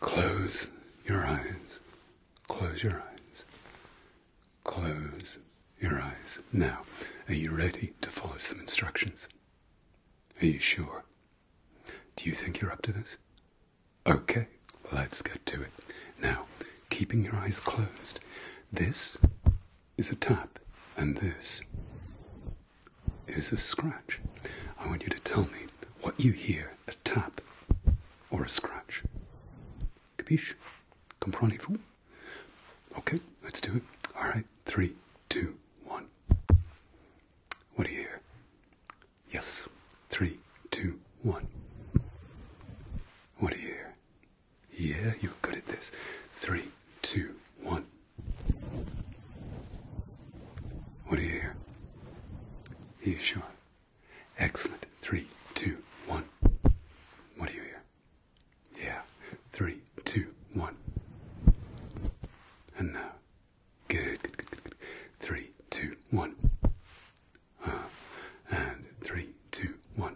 Close your eyes. Close your eyes. Close your eyes. Now, are you ready to follow some instructions? Are you sure? Do you think you're up to this? Okay, let's get to it. Now, keeping your eyes closed, this is a tap, and this is a scratch. I want you to tell me what you hear tap or a scratch. Capiche? comprendez Okay, let's do it. All right, three, two, one. What do you hear? Yes, three, two, one. What do you hear? Yeah, you're good at this. Three, two, one. What do you hear? Are you sure? Excellent. Three, two, one. What do you hear? Yeah. Three, two, one. And now. Good, Three, two, one. Uh, and three, two, one.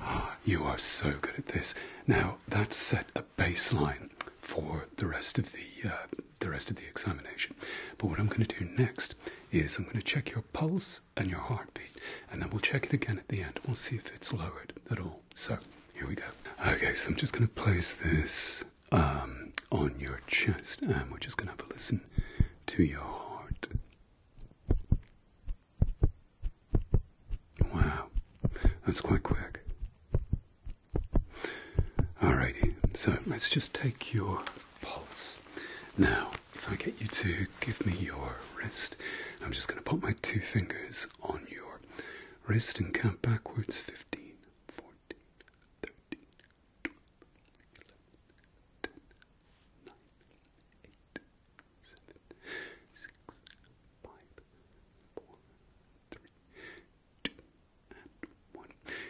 Ah, you are so good at this. Now, that's set up baseline for the rest of the uh, the rest of the examination. But what I'm going to do next is I'm going to check your pulse and your heartbeat, and then we'll check it again at the end. We'll see if it's lowered at all. So here we go. Okay, so I'm just going to place this um, on your chest, and we're just going to have a listen to your heart. Wow, that's quite quick. Alrighty, so let's just take your pulse. Now, if I get you to give me your wrist, I'm just going to put my two fingers on your wrist and count backwards 15,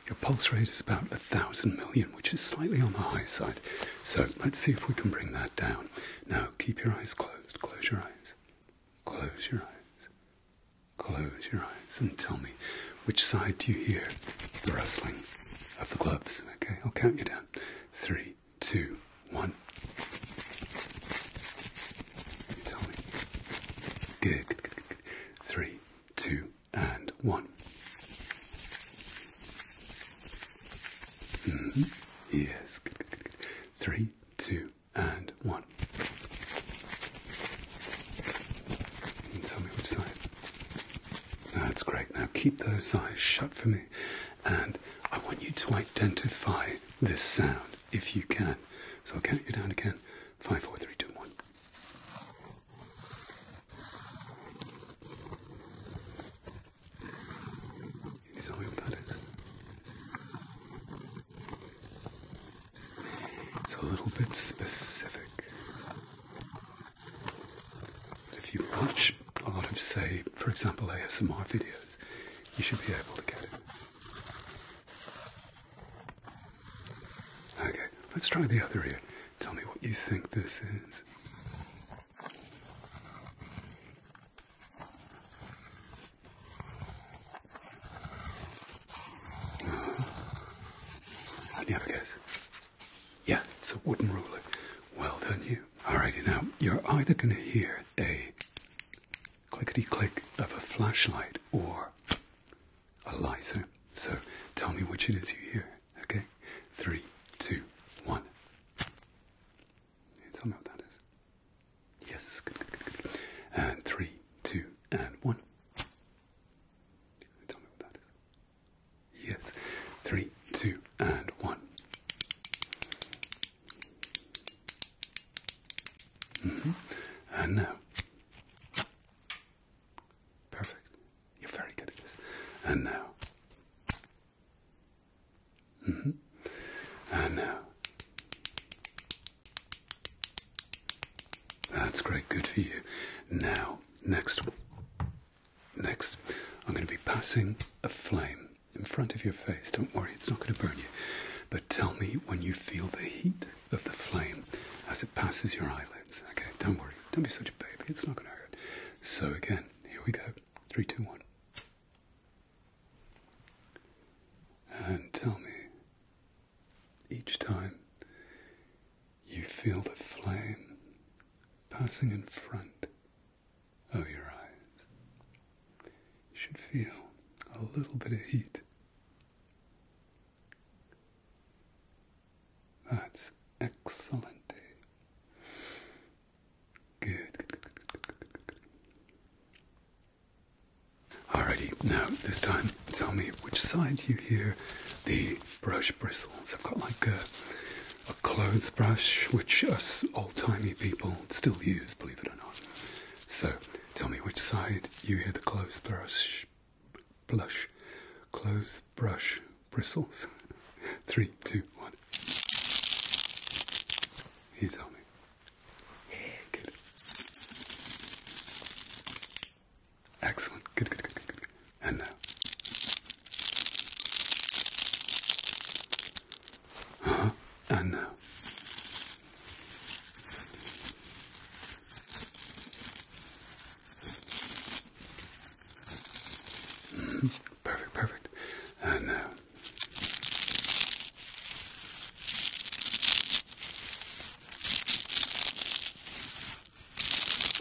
your pulse rate is about a thousand million, which is slightly on the high side. So let's see if we can bring that down. Now keep your eyes closed. Close your eyes. Close your eyes. Close your eyes and tell me which side do you hear the rustling of the gloves. Okay, I'll count you down. Three, two, one. tell me. Good. Three, two, and one. Mm-hmm. Yes, Three, two, and one. And tell me which side. That's great. Now keep those eyes shut for me, and I want you to identify this sound if you can. So I'll count you down again. Five, four, three, two, one. You saw him, that is. It's a little bit specific. if you watch a lot of, say, for example, ASMR videos, you should be able to get it. Okay, let's try the other ear. Tell me what you think this is. Uh, uh-huh. you have a Yeah, it's a wooden ruler. Well done, you. Alrighty, now you're either going to hear a clickety click of a flashlight or a lighter. So tell me which it is you hear, okay? Three, two, one. tell me what that is. Yes, And three, two, and one. Tell me what that is. Yes, three, two, and one. Mm-hmm. And now. Perfect. You're very good at this. And now. Mm-hmm. And now. That's great. Good for you. Now, next one. Next, I'm going to be passing a flame in front of your face. Don't worry, it's not going to burn you. But tell me when you feel the heat of the flame as it passes your eyelids. Okay, don't worry, don't be such a baby, it's not going to hurt. So, again, here we go. Three, two, one. And tell me, each time you feel the flame passing in front of your eyes, you should feel a little bit of heat that's excellent. good. Alrighty, now this time tell me which side you hear the brush bristles. I've got like a, a clothes brush, which us old timey people still use, believe it or not. So Tell me which side you hear the clothes brush, blush, clothes brush bristles. Three, two, one. You tell Yeah, good. Excellent. Good, good, good, good, good. And now. huh. And now. Mm -hmm. Perfect, perfect. And now.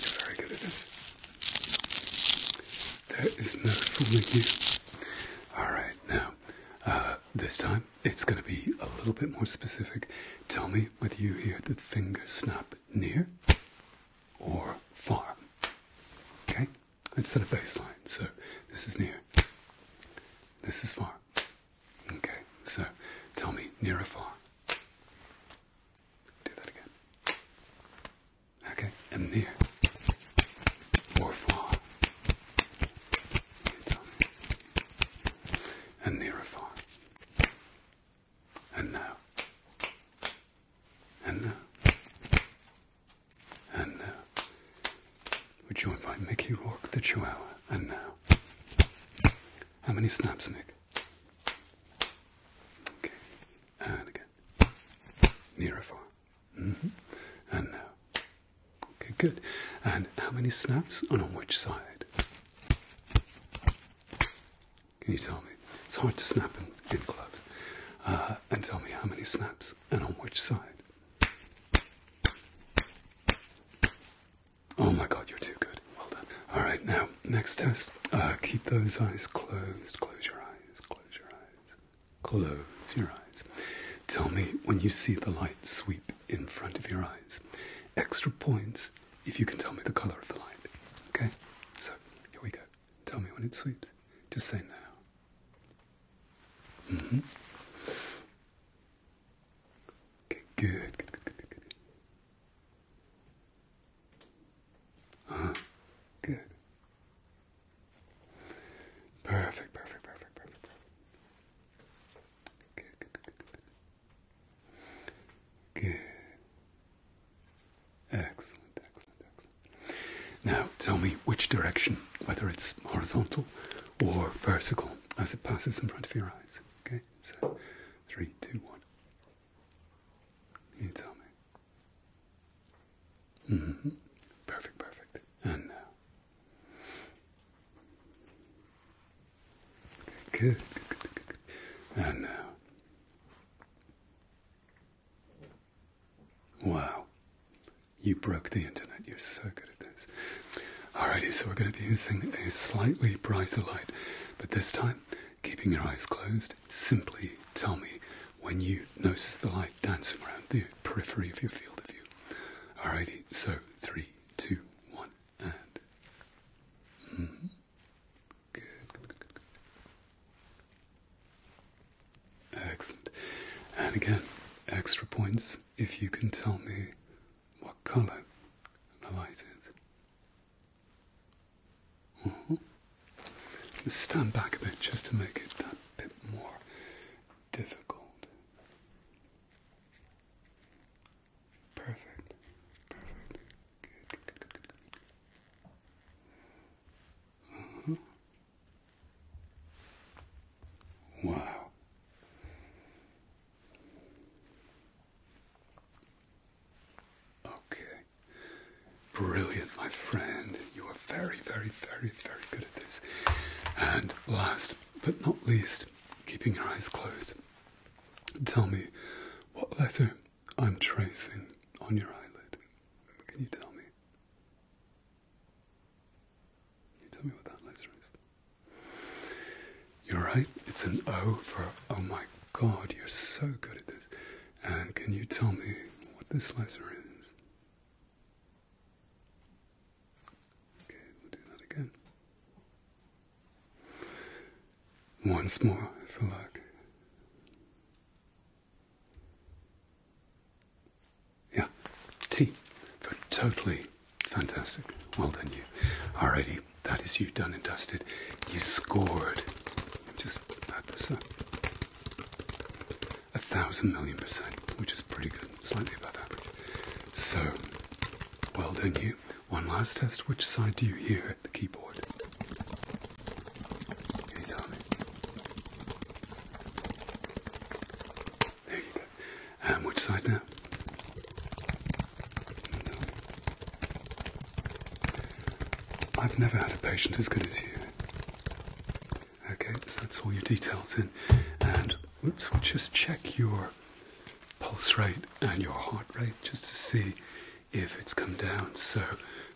Uh, very good at this. There is no fooling you. Alright, now. Uh, this time it's going to be a little bit more specific. Tell me whether you hear the finger snap near or far. Okay? Let's set a baseline. So this is near. This is far. Okay, so tell me near or far. Do that again. Okay, and near or far and near afar. And now, and now, and now, we're joined by Mickey Rourke, the Chihuahua. And now, how many snaps, Mick? Okay, and again, near afar. Mm-hmm. And now. Okay, good. And how many snaps and on which side? Can you tell me? It's hard to snap in, in gloves. Uh, and tell me how many snaps and on which side? Oh my god, you're too good. Well done. Alright, now, next test. Uh, keep those eyes closed. Close your eyes. Close your eyes. Close your eyes. Tell me when you see the light sweep in front of your eyes. Extra points if you can tell me the color of the light. Okay? So, here we go. Tell me when it sweeps. Just say now. mm good, good, good, good, good. Good. Uh-huh. perfect, perfect, perfect, perfect. Good, Excellent, excellent, excellent. Now tell me which direction, whether it's horizontal or vertical, as it passes in front of your eyes. Okay, so three, two, one. You tell me. hmm Perfect, perfect. And now. Good, And Wow. You broke the internet. You're so good at this. Alrighty, so we're going to be using a slightly brighter light, but this time, keeping your eyes closed, simply tell me when you notice the light dancing around the periphery of your field of view. Alrighty, so three, two, one. And mm-hmm. good, Excellent. And again, extra points if you can tell me what color the light is. Mm-hmm. stand back a bit just to make it that bit more difficult. Perfect. Perfect. Good. Mm-hmm. Wow. Okay. Brilliant, my friend. You are very, very, very, very good at this. And last but not least, keeping your eyes closed, tell me what letter I'm tracing on your eyelid. Can you tell me? you tell me what that letter is? You're right, it's an O for oh my god, you're so good at this. And can you tell me what this letter is? Okay, we'll do that again. Once more for luck. Yeah, T for totally fantastic. Well done, you. Alrighty, that is you done and dusted. You scored. Just add this up. A thousand million percent, which is pretty good, slightly above average. So, well done, you. One last test. Which side do you hear at the keyboard? Can you There you go. Um, which side now? I've never had a patient as good as you. Okay, so that's all your details in. And oops, we'll just check your pulse rate and your heart rate just to see if it's come down. So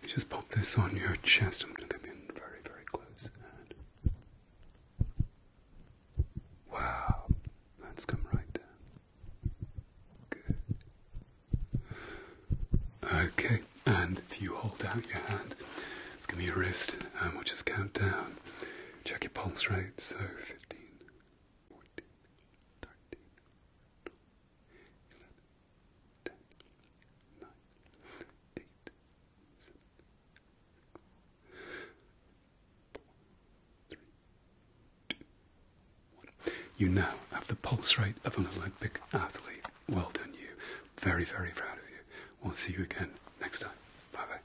just pop this on your chest. I'm going to come in very, very close. And wow, that's come right down. Okay, and if you hold out your hand, it's going to be your wrist, and um, we'll just count down. Check your pulse rate. So 15. You now have the pulse rate of an Olympic athlete. Well done, you. Very, very proud of you. We'll see you again next time. Bye bye.